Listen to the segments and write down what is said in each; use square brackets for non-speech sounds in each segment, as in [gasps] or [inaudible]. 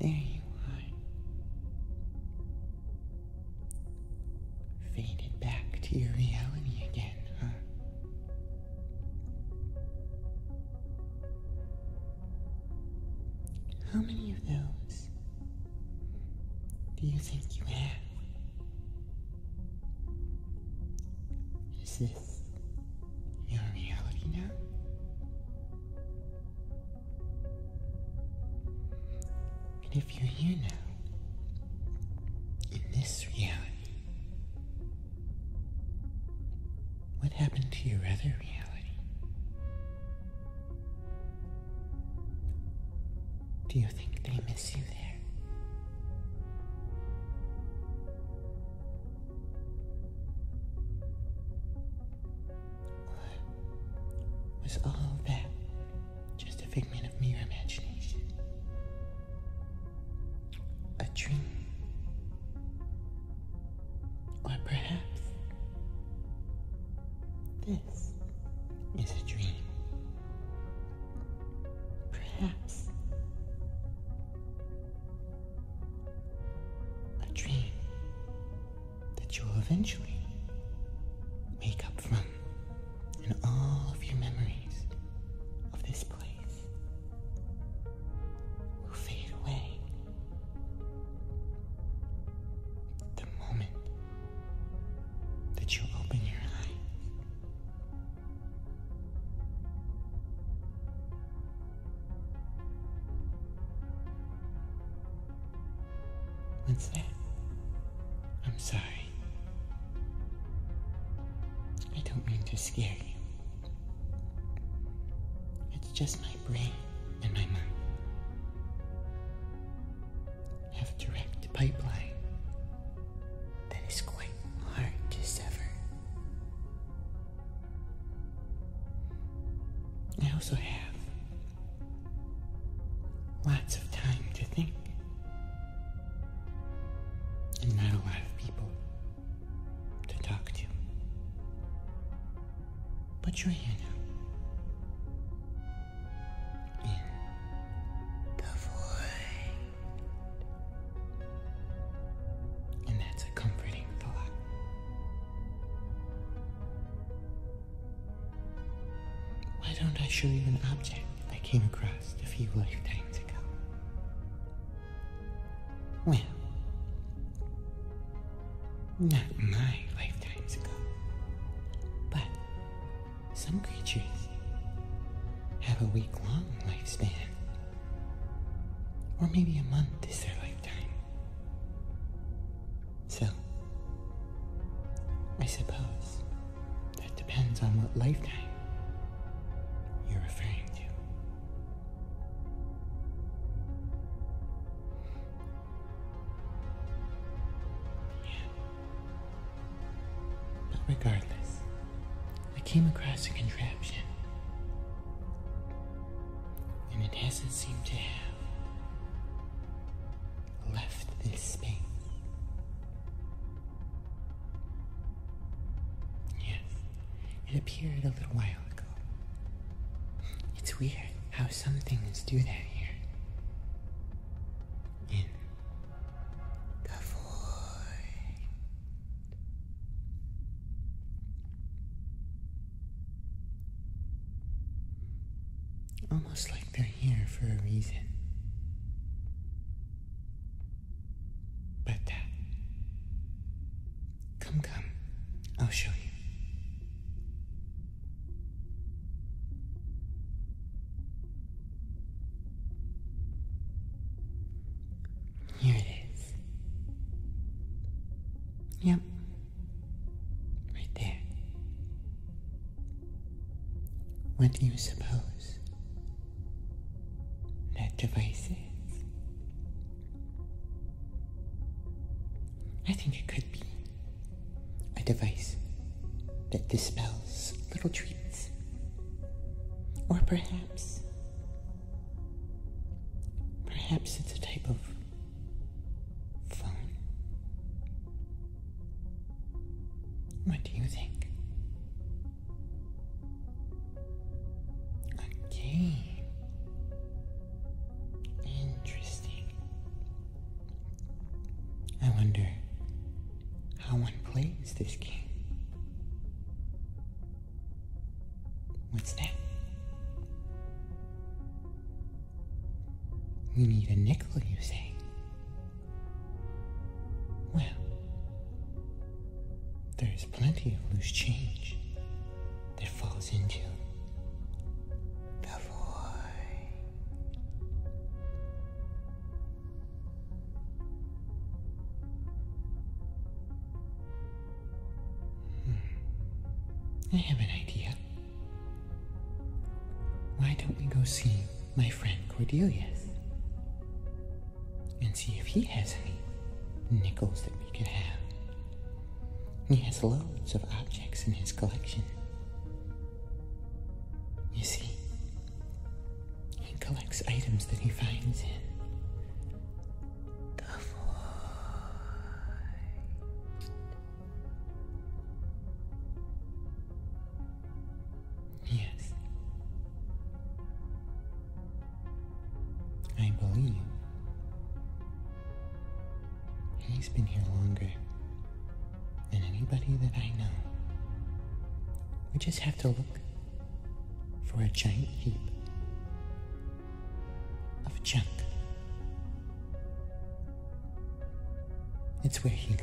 There you are. Faded back to your reality again, huh? How many of those do you think you have? Is this your reality now? And if you're here now, in this reality, what happened to your other reality? Do you think they miss you there? was all that just a figment of mere imagination? A dream? Or perhaps this is a dream. Perhaps a dream that you'll eventually make up from in all of your memories of this place will fade away the moment that you open your eyes. What's that? I'm sorry. I don't mean to scare you. It's just my brain and my mind have a direct pipeline that is quite hard to sever. I also have lots of time to think, and not a lot of people to talk to. Put your hand out in the void. And that's a comforting thought. Why don't I show you an object I came across a few lifetimes ago? Well, not my lifetimes ago. But some creatures have a week long lifespan. Or maybe a month is their lifetime. So, I suppose that depends on what lifetime you're referring to. Yeah. But regardless, I came across a contraption. And it hasn't seemed to have left this space. Yes, it appeared a little while ago. It's weird how some things do that here. In the void. Almost like they're here for a reason. But uh, come, come. I'll show you. Here it is. Yep. Right there. What do you suppose that device is? I think it could be a device that dispels little treats. Or perhaps, perhaps it's a type of phone. What do you think? A game. Interesting. I wonder how one plays this game. What's that? We need a nickel, you say? Well, there's plenty of loose change that falls into the void. I have an idea. Why don't we go see my friend Cordelia and see if he has any nickels that we could have he has loads of objects in his collection. You see, he collects items that he finds in Yes. I believe he's been here longer than anybody that I know. We just have to look for a giant heap of junk. It's where he lives.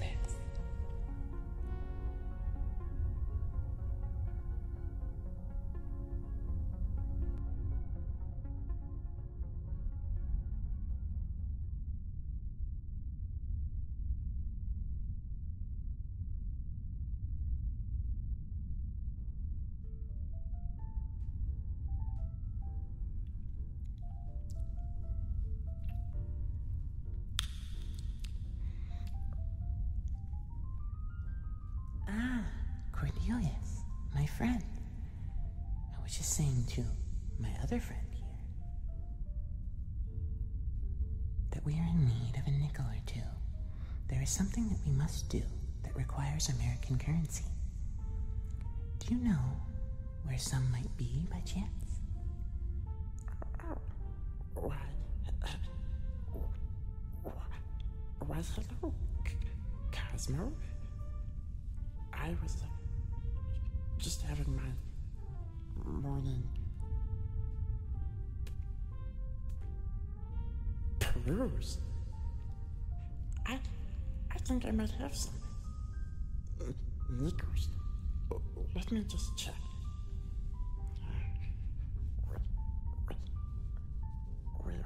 Ah, Cornelius, my friend, I was just saying to my other friend here that we are in need of a nickel or two. There is something that we must do that requires American currency. Do you know where some might be by chance? Why, why, hello, Cosmo. I was just having my morning peruse. I, I think I might have some. Nickers, let me just check. Where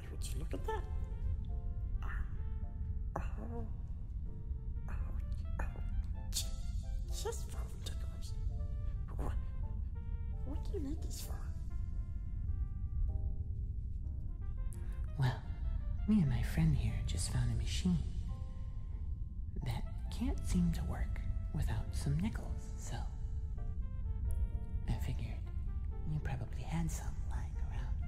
why look at that? Oh, oh, oh, Just, just phone tickers. What, what do you make this for? Well, me and my friend here just found a machine that can't seem to work without some nickels. So, I figured you probably had some lying around.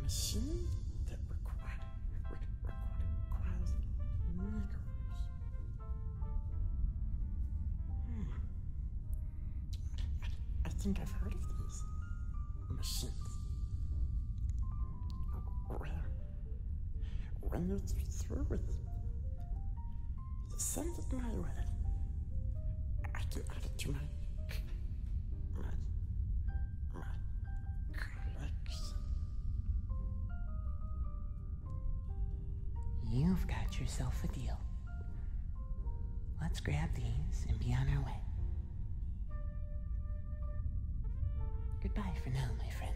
A machine that requires, requires niggers. Hmm. I, think I've heard of this machines. Where? When you through with send it my way. I have add it to my, my, my collection. You've got yourself a deal. Let's grab these and be on our way. Goodbye for now, my friend.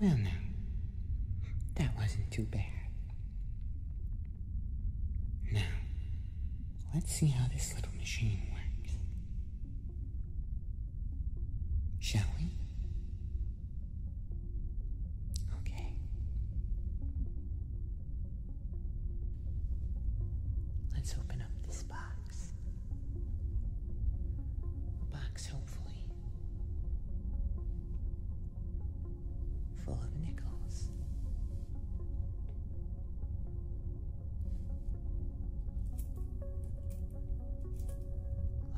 Well, now, that wasn't too bad. Now, Let's see how this little machine works. Shall we? Okay. Let's open up this box. A box, hopefully, full of nickels.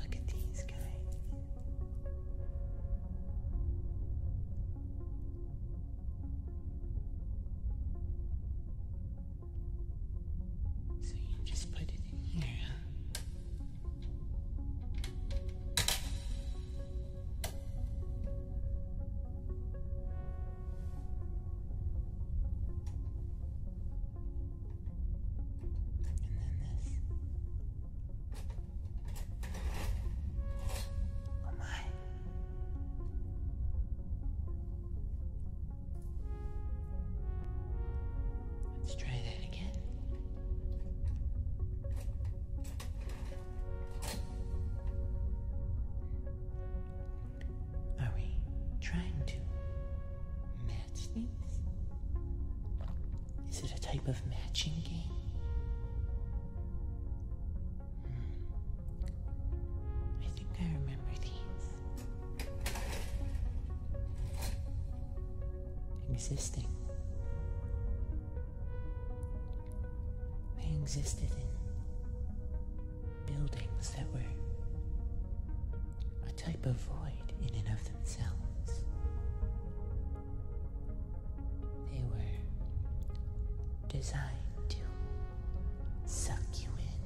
Look at these guys. So you just put it in here. And then this. Oh my. Let's try that again. Are we trying to match these? Is it a type of matching game? Hmm. I think I remember these. Existing. They existed in buildings that were a type of void in and of themselves. They were designed to suck you in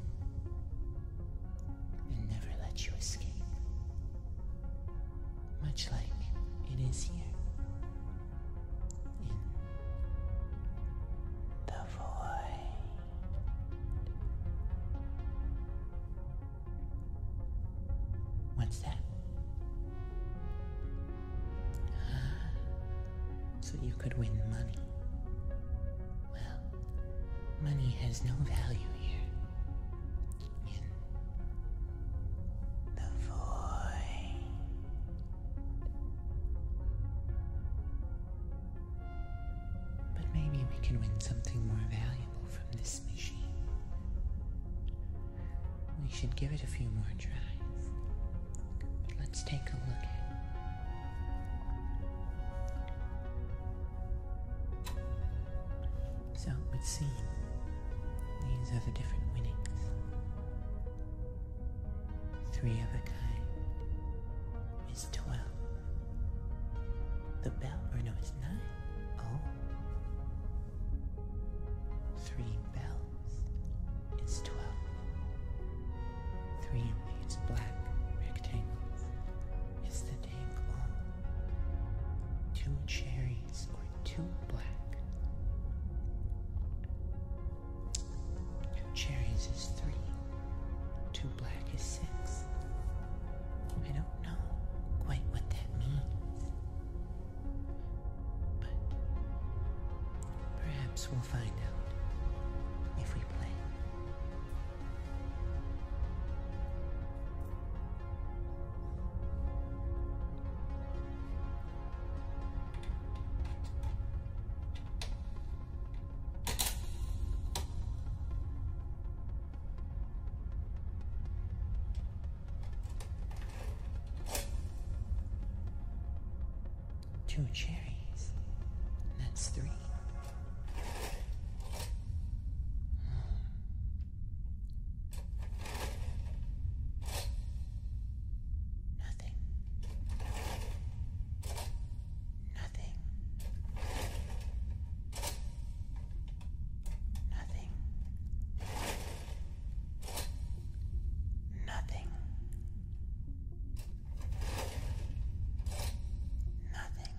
and never let you escape. Much like it is here in the What's that? So you could win money. Well, money has no value here. In the void. But maybe we can win something more valuable from this machine. We should give it a few more tries. let's take a look So it would these are the different winnings. Three of a kind is twelve. The bell, or no, it's nine. Oh. Three bells is twelve. Three in black rectangles is the tangle. Two cherries or two black. Two Cherries is three. Two black is six. I don't know quite what that means. But perhaps we'll find out if we play two cherries. That's three. Hmm. Nothing. Nothing. Nothing. Nothing. Nothing. Nothing.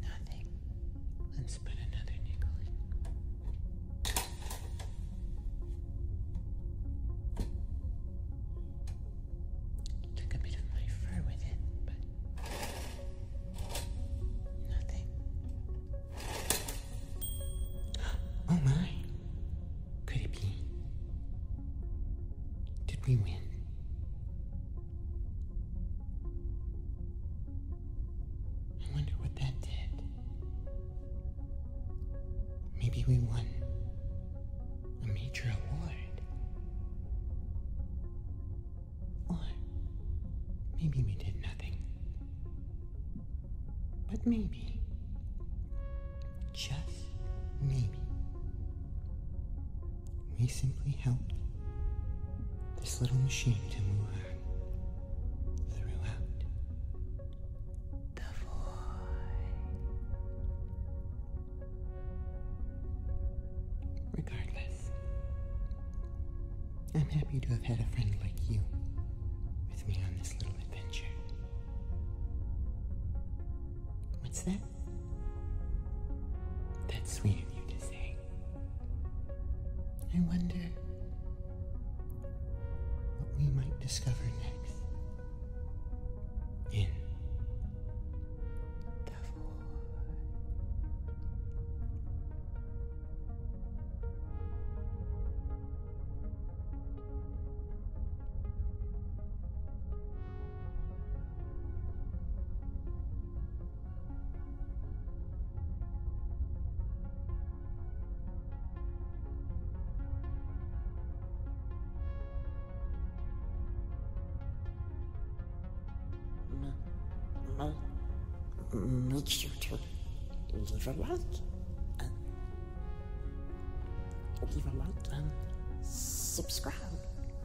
Nothing. Let's put another nickel in. Took a bit of my fur with it, but nothing. [gasps] Oh my! Could it be? Did we win? I wonder what that did. Maybe we won a major award. Or maybe we did nothing. But maybe, just maybe, we simply help this little machine to move on throughout the void. Regardless, I'm happy to have had a friend like you with me on this little adventure. What's that? That's sweet of you to say. I wonder what we might discover next in the void makes you to live a lot and leave a like and subscribe